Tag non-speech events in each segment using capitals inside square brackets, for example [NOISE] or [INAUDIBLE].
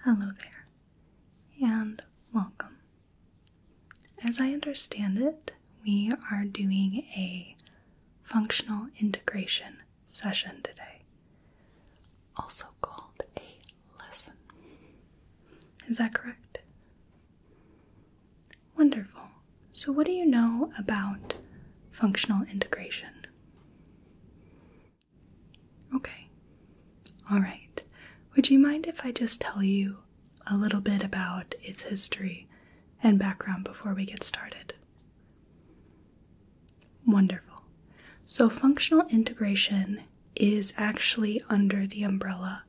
Hello there, and welcome. As I understand it, we are doing a functional integration session today, also called a lesson. Is that correct? Wonderful. So, what do you know about functional integration? Okay. All right. Would you mind if I just tell you a little bit about its history and background before we get started? Wonderful. So, functional integration is actually under the umbrella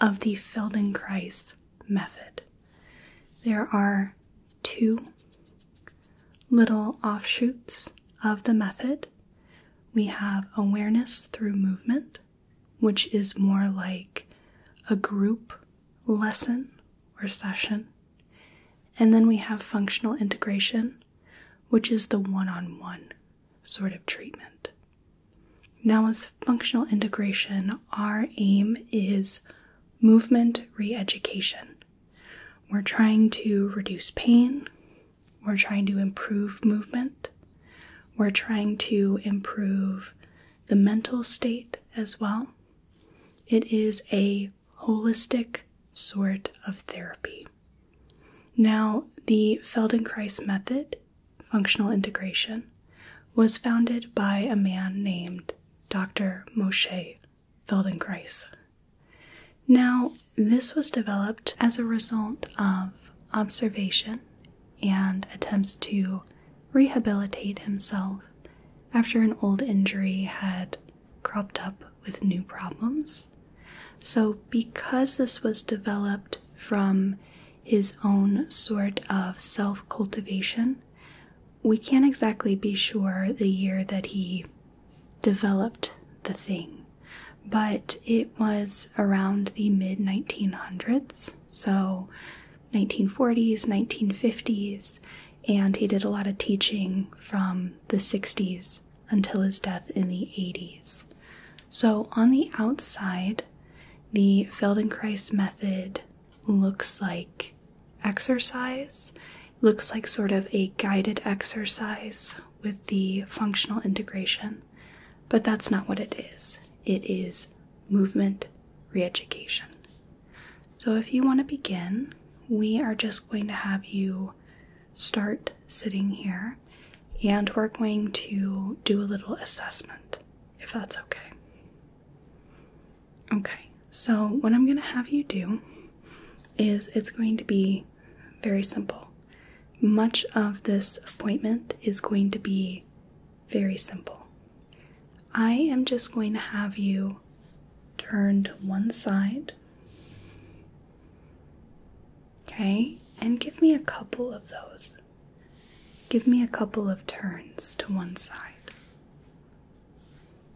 of the Feldenkrais method. There are two little offshoots of the method, we have awareness through movement, which is more like a group lesson or session. And then we have functional integration, which is the one on one sort of treatment. Now, with functional integration, our aim is movement re education. We're trying to reduce pain, we're trying to improve movement. We're trying to improve the mental state as well. It is a holistic sort of therapy. Now, the Feldenkrais method, functional integration, was founded by a man named Dr. Moshe Feldenkrais. Now, this was developed as a result of observation and attempts to rehabilitate himself after an old injury had cropped up with new problems. So, because this was developed from his own sort of self cultivation, we can't exactly be sure the year that he developed the thing, but it was around the mid 1900s, so 1940s, 1950s, and he did a lot of teaching from the 60s until his death in the 80s. So on the outside, the Feldenkrais method looks like exercise, looks like sort of a guided exercise with the functional integration, but that's not what it is. It is movement reeducation. So, if you want to begin, we are just going to have you start sitting here and we're going to do a little assessment if that's okay. Okay, so what I'm going to have you do is it's going to be very simple. Much of this appointment is going to be very simple. I am just going to have you turn to one side. Okay, and give me a couple of those. Give me a couple of turns to one side.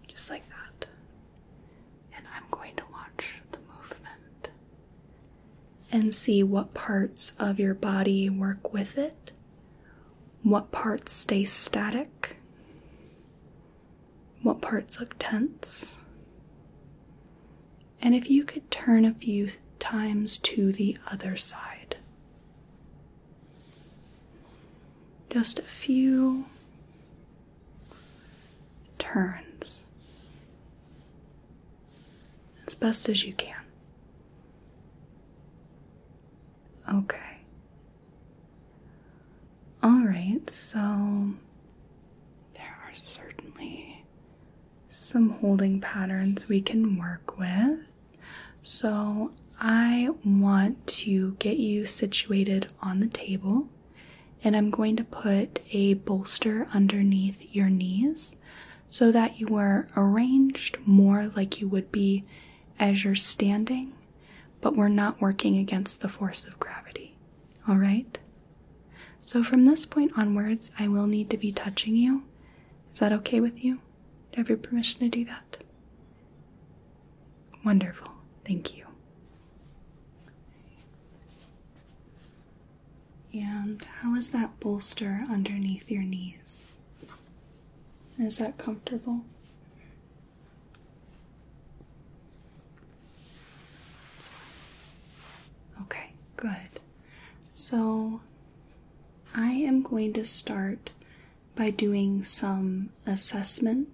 Just like that and I'm going to watch the movement and see what parts of your body work with it, what parts stay static, what parts look tense. And if you could turn a few times to the other side. Just a few turns as best as you can. Okay. All right, so there are certainly some holding patterns we can work with. So I want to get you situated on the table and I'm going to put a bolster underneath your knees so that you are arranged more like you would be as you're standing, but we're not working against the force of gravity. All right? So from this point onwards, I will need to be touching you. Is that okay with you? Do you have your permission to do that? Wonderful. Thank you. And how is that bolster underneath your knees? Is that comfortable? Okay, good. So I am going to start by doing some assessment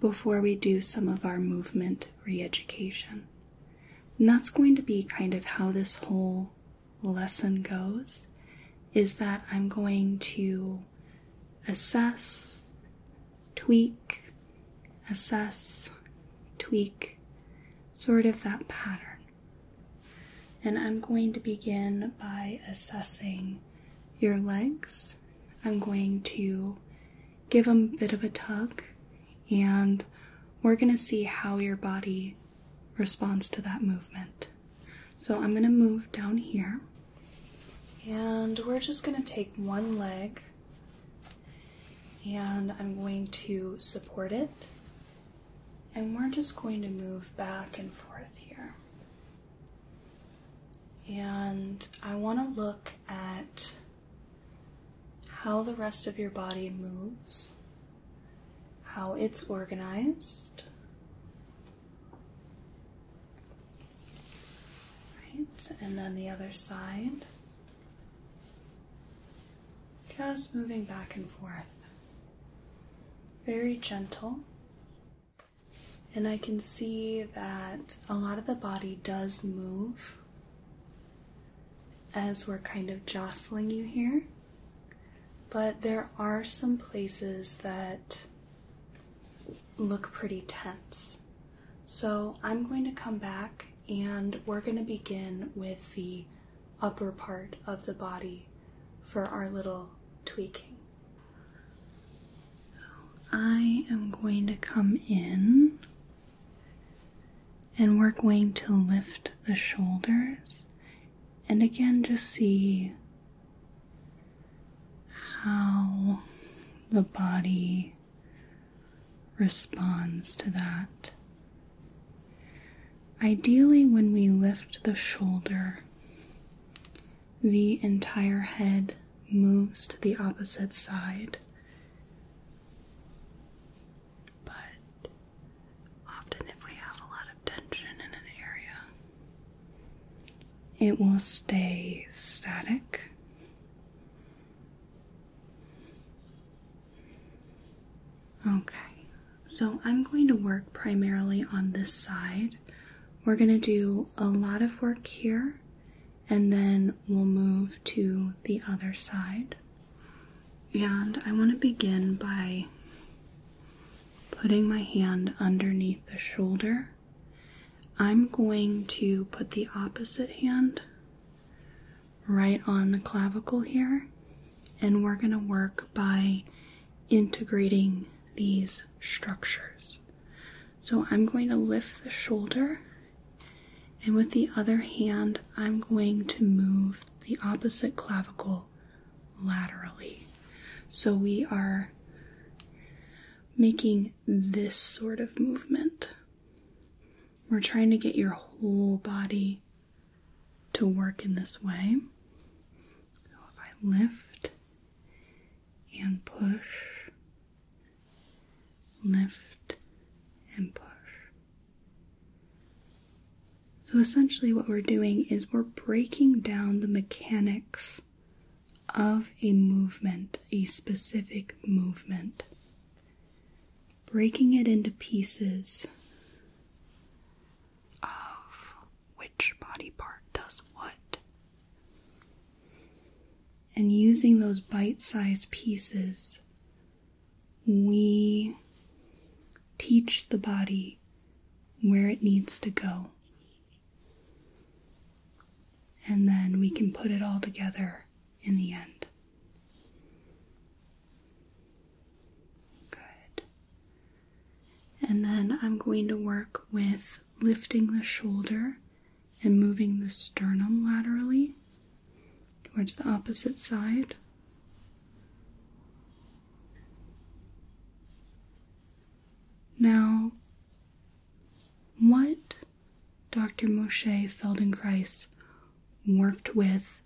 before we do some of our movement re education. And that's going to be kind of how this whole lesson goes is that I'm going to assess, tweak, assess, tweak, sort of that pattern. And I'm going to begin by assessing your legs. I'm going to give them a bit of a tug, and we're going to see how your body responds to that movement. So I'm going to move down here, and we're just going to take one leg, and I'm going to support it, and we're just going to move back and forth here. And I want to look at how the rest of your body moves, how it's organized. Right, and then the other side. Just moving back and forth. Very gentle. And I can see that a lot of the body does move as we're kind of jostling you here. But there are some places that look pretty tense. So I'm going to come back and we're going to begin with the upper part of the body for our little tweaking. I am going to come in and we're going to lift the shoulders and again just see how the body responds to that. Ideally, when we lift the shoulder, the entire head moves to the opposite side, but often, if we have a lot of tension in an area, it will stay static. Okay, so I'm going to work primarily on this side. We're going to do a lot of work here and then we'll move to the other side. And I want to begin by putting my hand underneath the shoulder. I'm going to put the opposite hand right on the clavicle here, and we're going to work by integrating these structures. So I'm going to lift the shoulder, and with the other hand, I'm going to move the opposite clavicle laterally. So we are making this sort of movement. We're trying to get your whole body to work in this way. So if I lift and push lift, and push. So essentially, what we're doing is we're breaking down the mechanics of a movement, a specific movement, breaking it into pieces of which body part does what, and using those bite sized pieces, we teach the body where it needs to go. And then we can put it all together in the end. Good. And then I'm going to work with lifting the shoulder and moving the sternum laterally towards the opposite side. Now, what Dr. Moshe Feldenkrais worked with,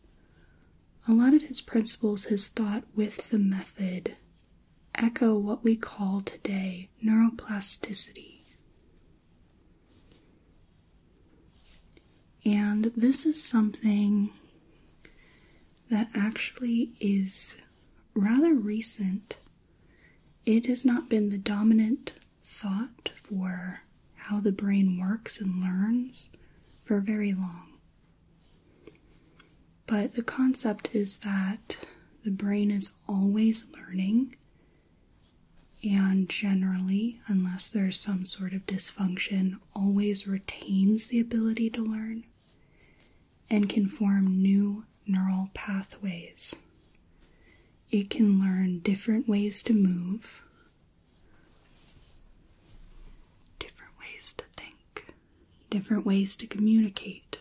a lot of his principles, his thought with the method, echo what we call today neuroplasticity. And this is something that actually is rather recent. It has not been the dominant thought for how the brain works and learns for very long. But the concept is that the brain is always learning and generally, unless there's some sort of dysfunction, always retains the ability to learn and can form new neural pathways. It can learn different ways to move, different ways to think, different ways to communicate.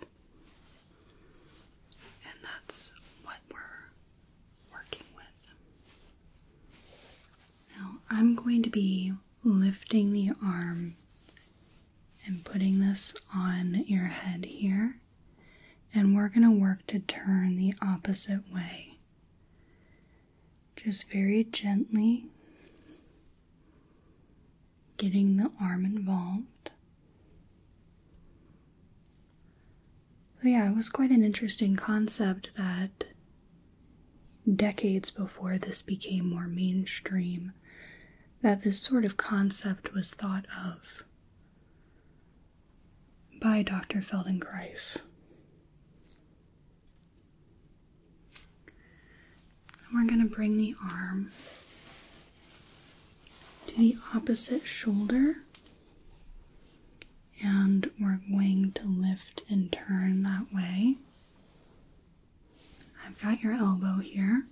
And that's what we're working with. Now, I'm going to be lifting the arm and putting this on your head here, and we're going to work to turn the opposite way. Just very gently getting the arm involved. So, yeah, it was quite an interesting concept that decades before this became more mainstream, that this sort of concept was thought of by Dr. Feldenkrais. we're going to bring the arm to the opposite shoulder and we're going to lift and turn that way. I've got your elbow here.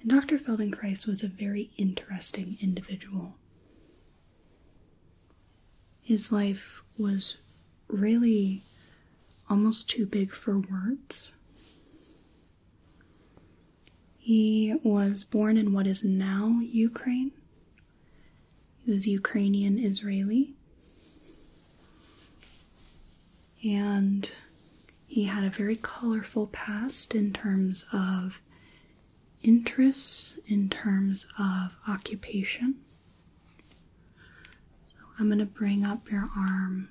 And Dr. Feldenkrais was a very interesting individual. His life was really almost too big for words. He was born in what is now Ukraine. He was Ukrainian Israeli. And he had a very colorful past in terms of interests, in terms of occupation. So I'm going to bring up your arm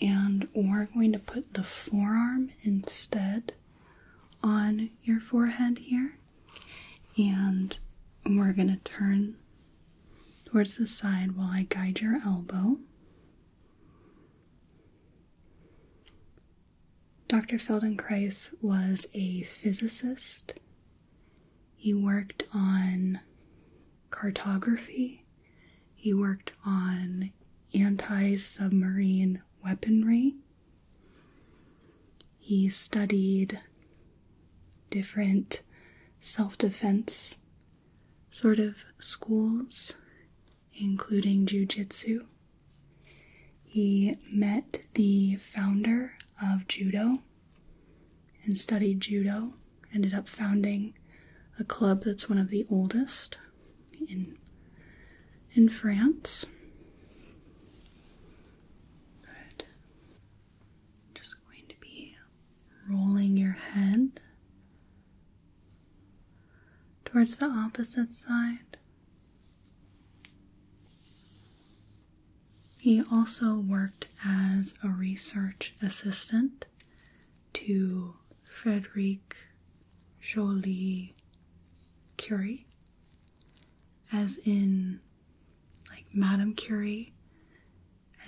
and we're going to put the forearm instead on your forehead here and we're going to turn towards the side while I guide your elbow. Dr. Feldenkrais was a physicist. He worked on cartography he worked on anti submarine weaponry. He studied different self defense sort of schools, including jujitsu. He met the founder of judo and studied judo, ended up founding a club that's one of the oldest in in France. Just going to be rolling your head towards the opposite side. He also worked as a research assistant to Frederic Jolie Curie, as in like Madame Curie,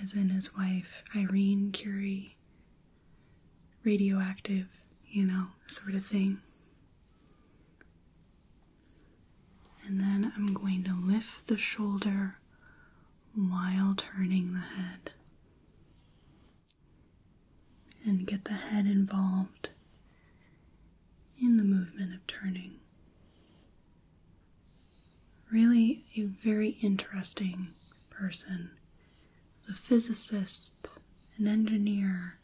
as in his wife Irene Curie, radioactive, you know, sort of thing. And then I'm going to lift the shoulder while turning the head and get the head involved in the movement of turning. Really, a very interesting person. A physicist, an engineer,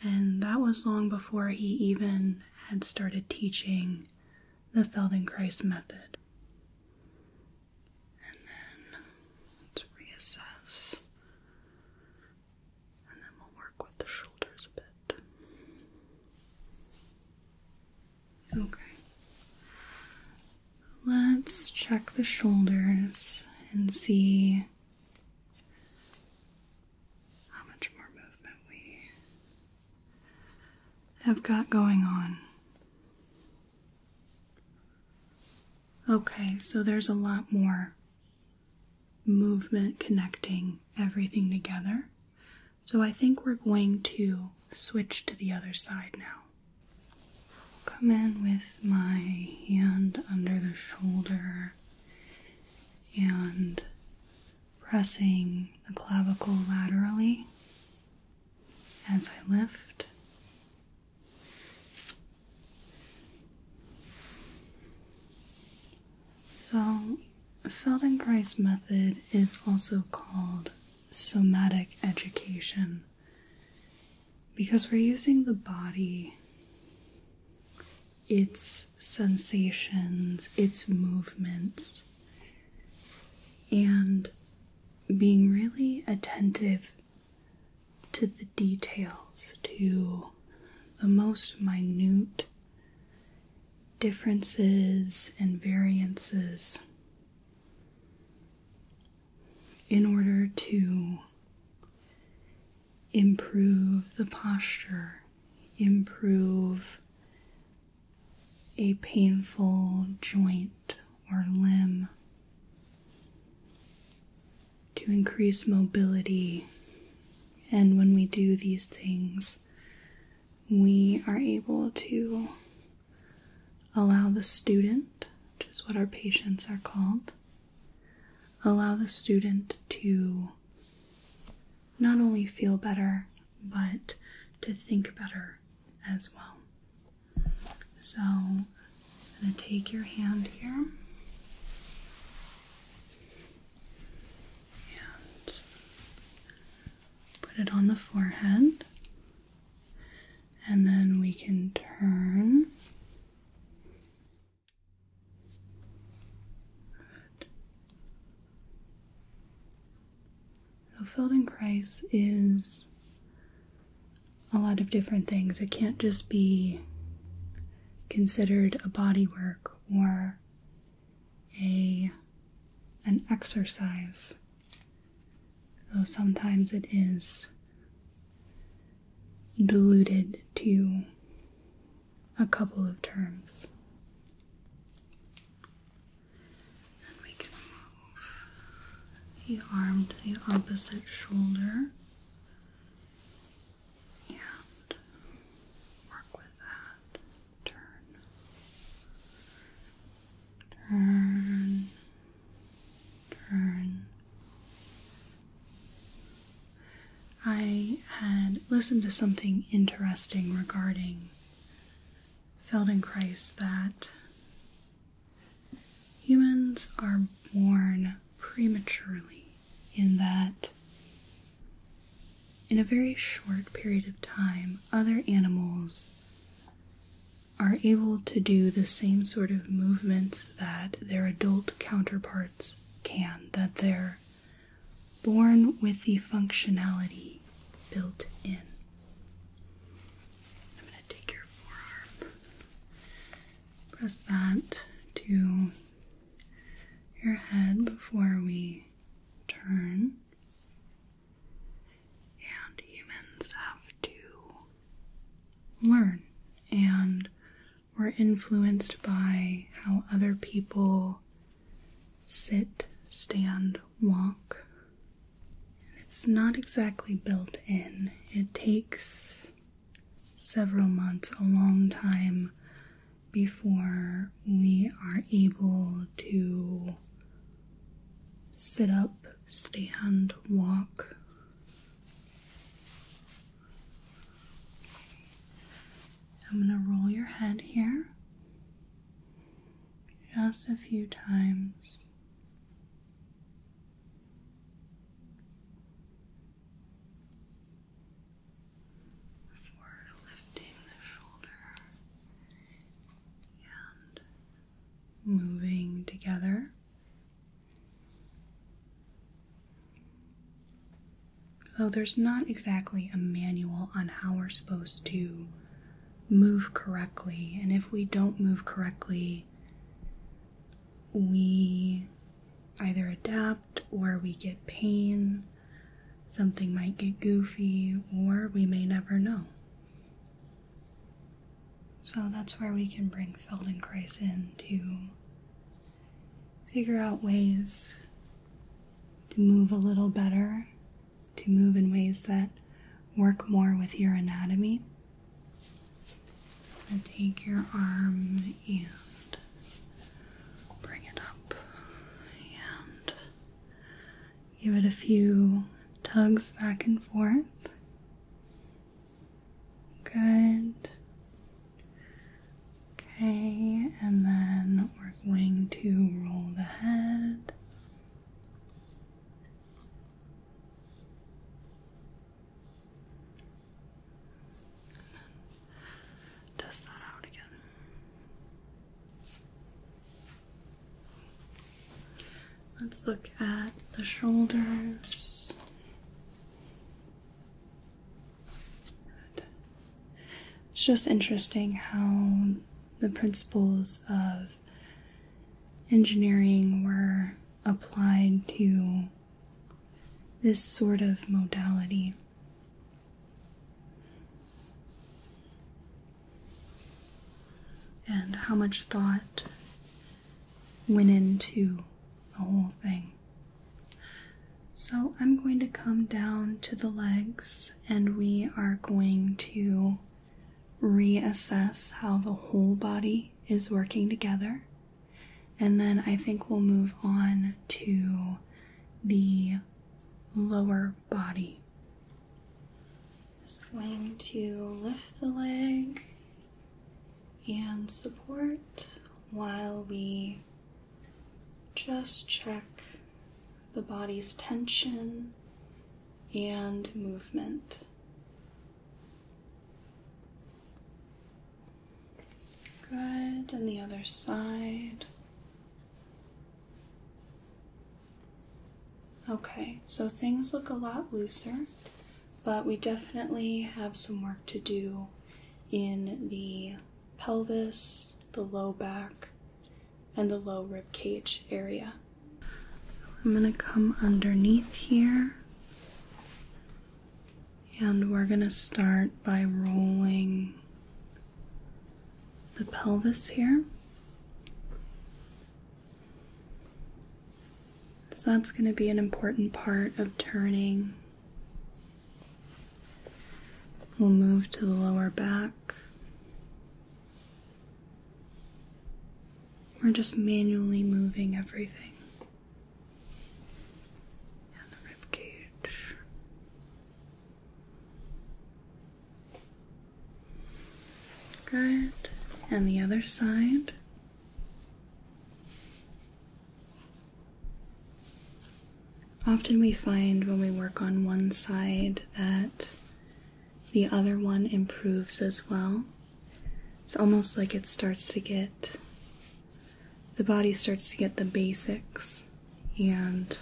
and that was long before he even had started teaching the Feldenkrais method and then let's reassess, and then we'll work with the shoulders a bit. Okay, let's check the shoulders and see how much more movement we have got going on. Okay, so there's a lot more movement connecting everything together. So I think we're going to switch to the other side now. Come in with my hand under the shoulder and pressing the clavicle laterally as I lift. So, Feldenkrais method is also called somatic education because we're using the body, its sensations, its movements, and being really attentive to the details, to the most minute differences and variances in order to improve the posture, improve a painful joint or limb. To increase mobility, and when we do these things, we are able to allow the student, which is what our patients are called, allow the student to not only feel better, but to think better as well. So I'm going to take your hand here and put it on the forehead, and then we can turn. So Feldenkrais is a lot of different things. It can't just be considered a body work or a an exercise. Though sometimes it is diluted to a couple of terms. And we can move the arm the opposite shoulder and work with that. Turn. Turn. Turn. I had listened to something interesting regarding Feldenkrais that Humans are born prematurely in that, in a very short period of time, other animals are able to do the same sort of movements that their adult counterparts can, that they're born with the functionality built in. I'm going to take your forearm, press that to your head before we turn. And humans have to learn, and we're influenced by how other people sit, stand, walk. It's not exactly built in. It takes several months, a long time, before we are able to sit up, stand, walk. I'm going to roll your head here just a few times. Before lifting the shoulder and moving together. So, there's not exactly a manual on how we're supposed to move correctly. And if we don't move correctly, we either adapt or we get pain, something might get goofy, or we may never know. So that's where we can bring Feldenkrais in to figure out ways to move a little better to move in ways that work more with your anatomy. take your arm and bring it up and give it a few tugs back and forth. Good. Okay, and then we're going to roll the head and that out again. Let's look at the shoulders. It's just interesting how the principles of engineering were applied to this sort of modality. And how much thought went into the whole thing. So I'm going to come down to the legs and we are going to reassess how the whole body is working together. And then I think we'll move on to the lower body. Just going to lift the leg and support while we just check the body's tension and movement. Good, and the other side. Okay, so things look a lot looser, but we definitely have some work to do in the pelvis, the low back, and the low rib cage area. I'm going to come underneath here and we're going to start by rolling the pelvis here. So that's going to be an important part of turning. We'll move to the lower back. We're just manually moving everything. And the rib cage. Good. And the other side. Often we find when we work on one side that the other one improves as well. It's almost like it starts to get, the body starts to get the basics and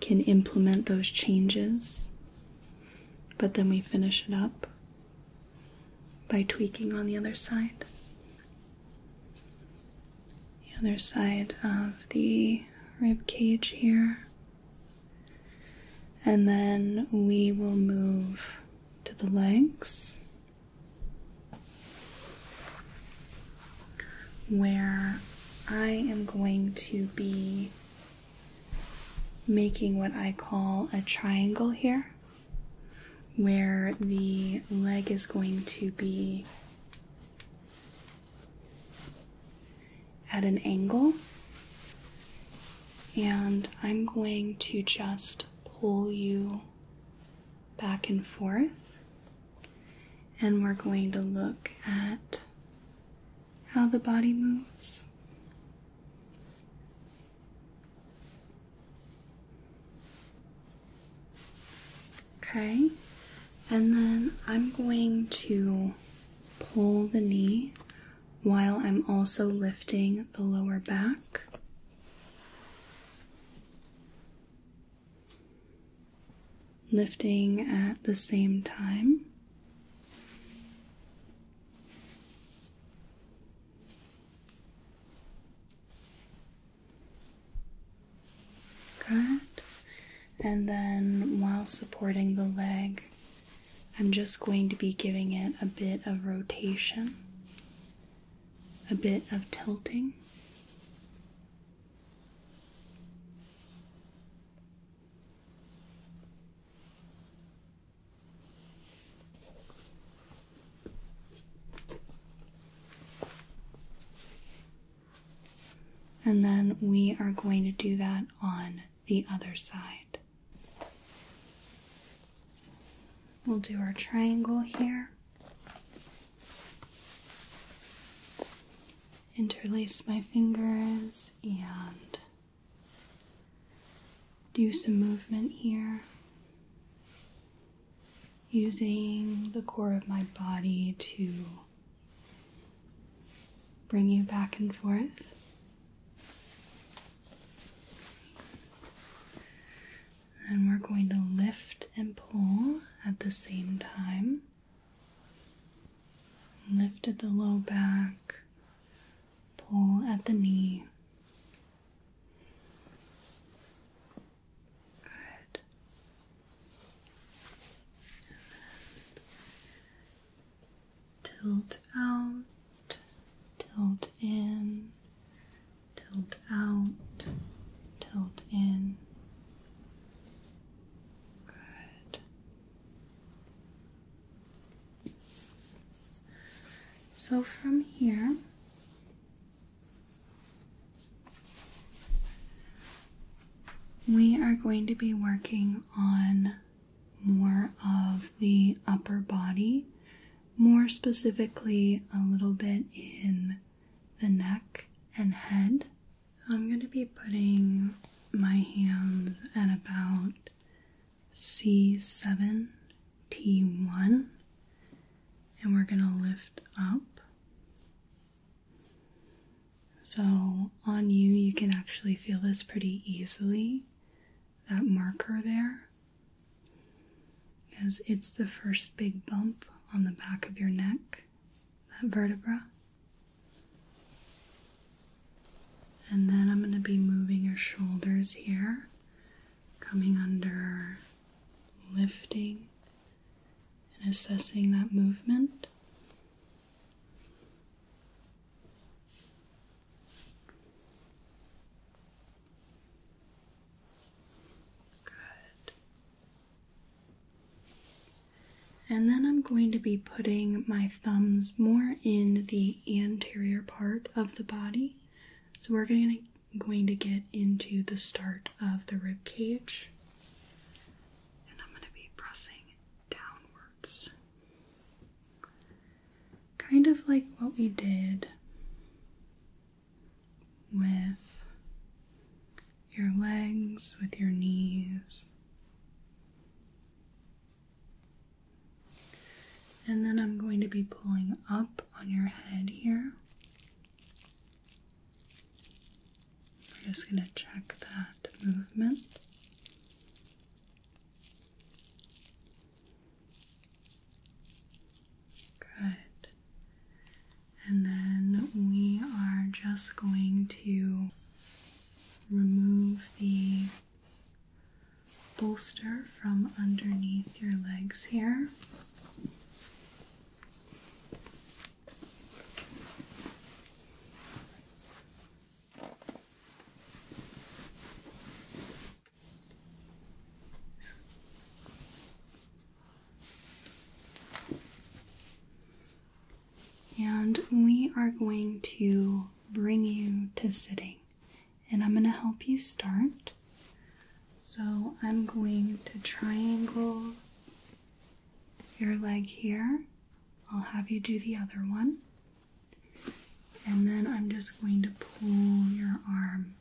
can implement those changes. But then we finish it up by tweaking on the other side. The other side of the rib cage here. And then we will move to the legs where I am going to be making what I call a triangle here, where the leg is going to be at an angle. And I'm going to just pull you back and forth. And we're going to look at how the body moves. Okay, and then I'm going to pull the knee while I'm also lifting the lower back. Lifting at the same time. Good. And then while supporting the leg, I'm just going to be giving it a bit of rotation, a bit of tilting. And then we are going to do that on the other side. We'll do our triangle here. Interlace my fingers and do some movement here using the core of my body to bring you back and forth. And we're going to lift and pull at the same time. Lift at the low back, pull at the knee. Good tilt out, tilt in, tilt out, tilt in. Good. So from here, we are going to be working on more of the upper body, more specifically, a little bit in the neck and head. So I'm going to be putting my hands at about C7, T1, and we're going to lift up. So, on you, you can actually feel this pretty easily. That marker there, because it's the first big bump on the back of your neck, that vertebra. And then I'm going to be moving your shoulders here, coming under, lifting, and assessing that movement. Good. And then I'm going to be putting my thumbs more in the anterior part of the body. So we're going to, going to get into the start of the rib cage. And I'm going to be pressing downward. Kind of like what we did with your legs, with your knees. And then I'm going to be pulling up on your head here. We're just going to check that movement. Good. And then we are just going to remove the bolster from underneath your legs here. And we are going to bring you to sitting. And I'm going to help you start. So I'm going to triangle your leg here. I'll have you do the other one. And then I'm just going to pull your arm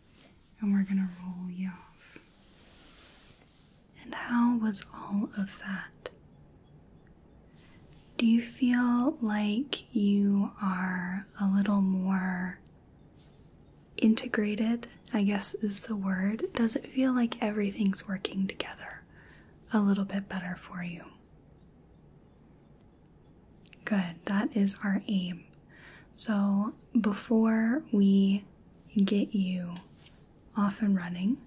and we're going to roll you off. And how was all of that? Do you feel like you are a little more integrated? I guess is the word. Does it feel like everything's working together a little bit better for you? Good, that is our aim. So, before we get you off and running,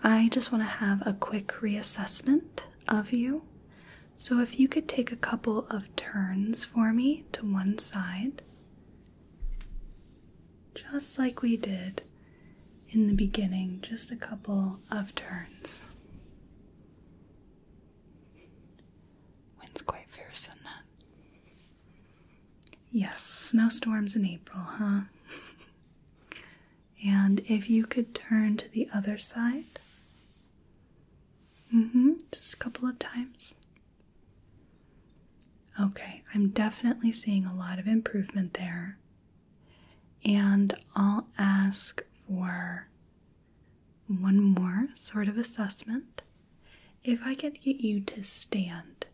I just want to have a quick reassessment of you. So, if you could take a couple of turns for me to one side, just like we did in the beginning, just a couple of turns. Wind's quite fierce, isn't Yes, snowstorms in April, huh? [LAUGHS] and if you could turn to the other side. Mm hmm, just a couple of times. Okay, I'm definitely seeing a lot of improvement there. And I'll ask for one more sort of assessment. If I could get you to stand,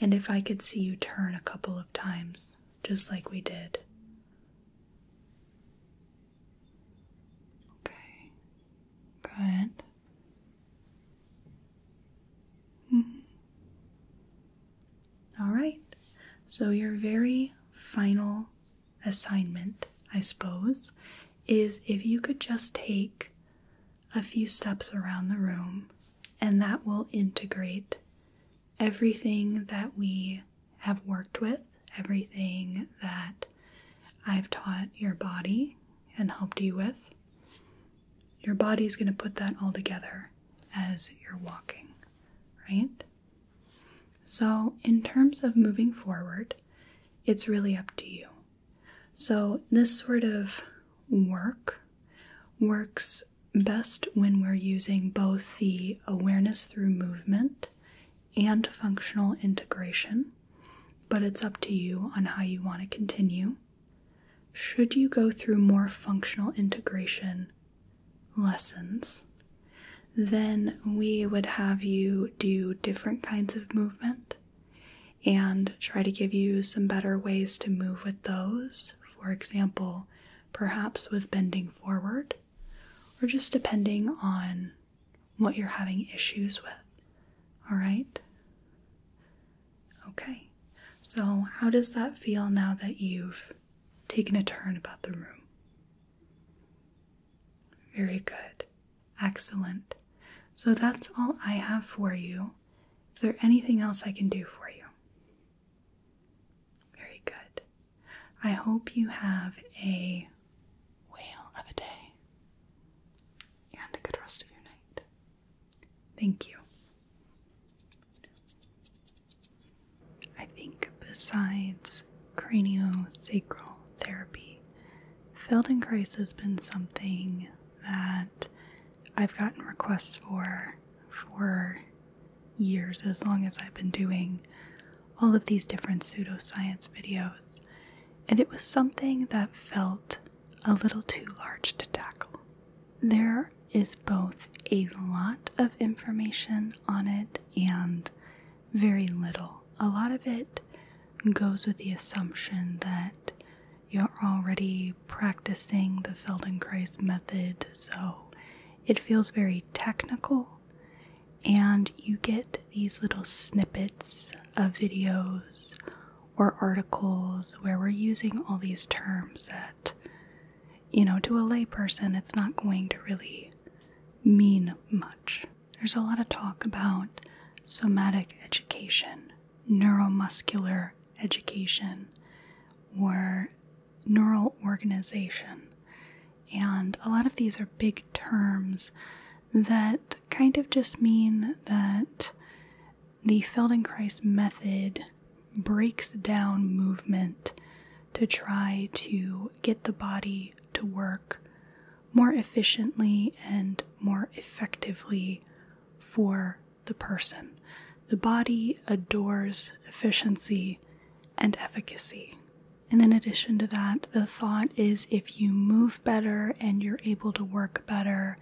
and if I could see you turn a couple of times, just like we did. Okay, good. Mm -hmm. All right. So, your very final assignment, I suppose, is if you could just take a few steps around the room, and that will integrate everything that we have worked with, everything that I've taught your body and helped you with. Your body is going to put that all together as you're walking, right? So, in terms of moving forward, it's really up to you. So, this sort of work works best when we're using both the awareness through movement and functional integration, but it's up to you on how you want to continue. Should you go through more functional integration, lessons, then we would have you do different kinds of movement and try to give you some better ways to move with those. For example, perhaps with bending forward, or just depending on what you're having issues with. All right? Okay. So, how does that feel now that you've Taking a turn about the room. Very good. Excellent. So that's all I have for you. Is there anything else I can do for you? Very good. I hope you have a whale of a day and a good rest of your night. Thank you. I think besides craniosacral therapy, Feldenkrais has been something that I've gotten requests for for years, as long as I've been doing all of these different pseudoscience videos. And it was something that felt a little too large to tackle. There is both a lot of information on it and very little. A lot of it goes with the assumption that you're already practicing the Feldenkrais method, so it feels very technical, and you get these little snippets of videos or articles where we're using all these terms that you know, to a layperson, it's not going to really mean much. There's a lot of talk about somatic education, neuromuscular education, or neural organization. And a lot of these are big terms that kind of just mean that the Feldenkrais method breaks down movement to try to get the body to work more efficiently and more effectively for the person. The body adores efficiency and efficacy. And in addition to that, the thought is if you move better and you're able to work better,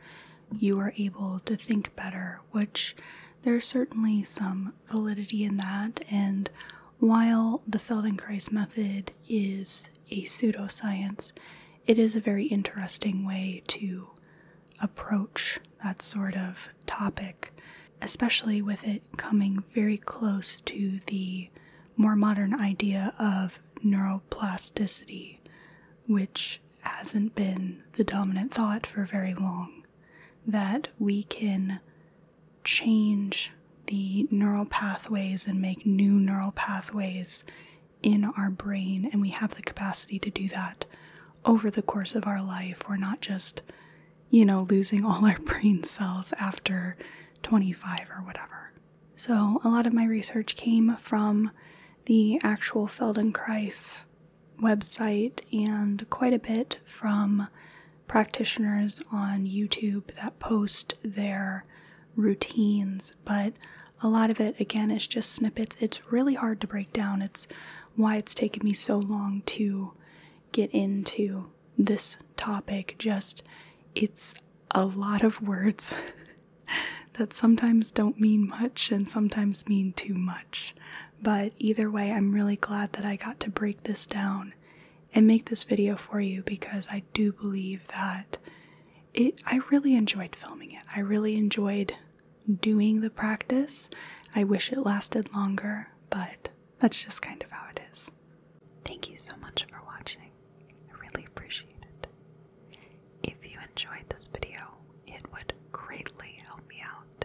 you are able to think better, which there's certainly some validity in that. And while the Feldenkrais method is a pseudoscience, it is a very interesting way to approach that sort of topic, especially with it coming very close to the more modern idea of neuroplasticity, which hasn't been the dominant thought for very long that we can change the neural pathways and make new neural pathways in our brain, and we have the capacity to do that over the course of our life. We're not just, you know, losing [LAUGHS] all our brain cells after 25 or whatever. So, a lot of my research came from the actual Feldenkrais website and quite a bit from practitioners on YouTube that post their routines, but a lot of it again is just snippets. It's really hard to break down. It's why it's taken me so long to get into this topic. Just it's a lot of words [LAUGHS] that sometimes don't mean much and sometimes mean too much. But either way, I'm really glad that I got to break this down and make this video for you because I do believe that it I really enjoyed filming it. I really enjoyed doing the practice. I wish it lasted longer, but that's just kind of how it is. Thank you so much for watching. I really appreciate it. If you enjoyed this video, it would greatly help me out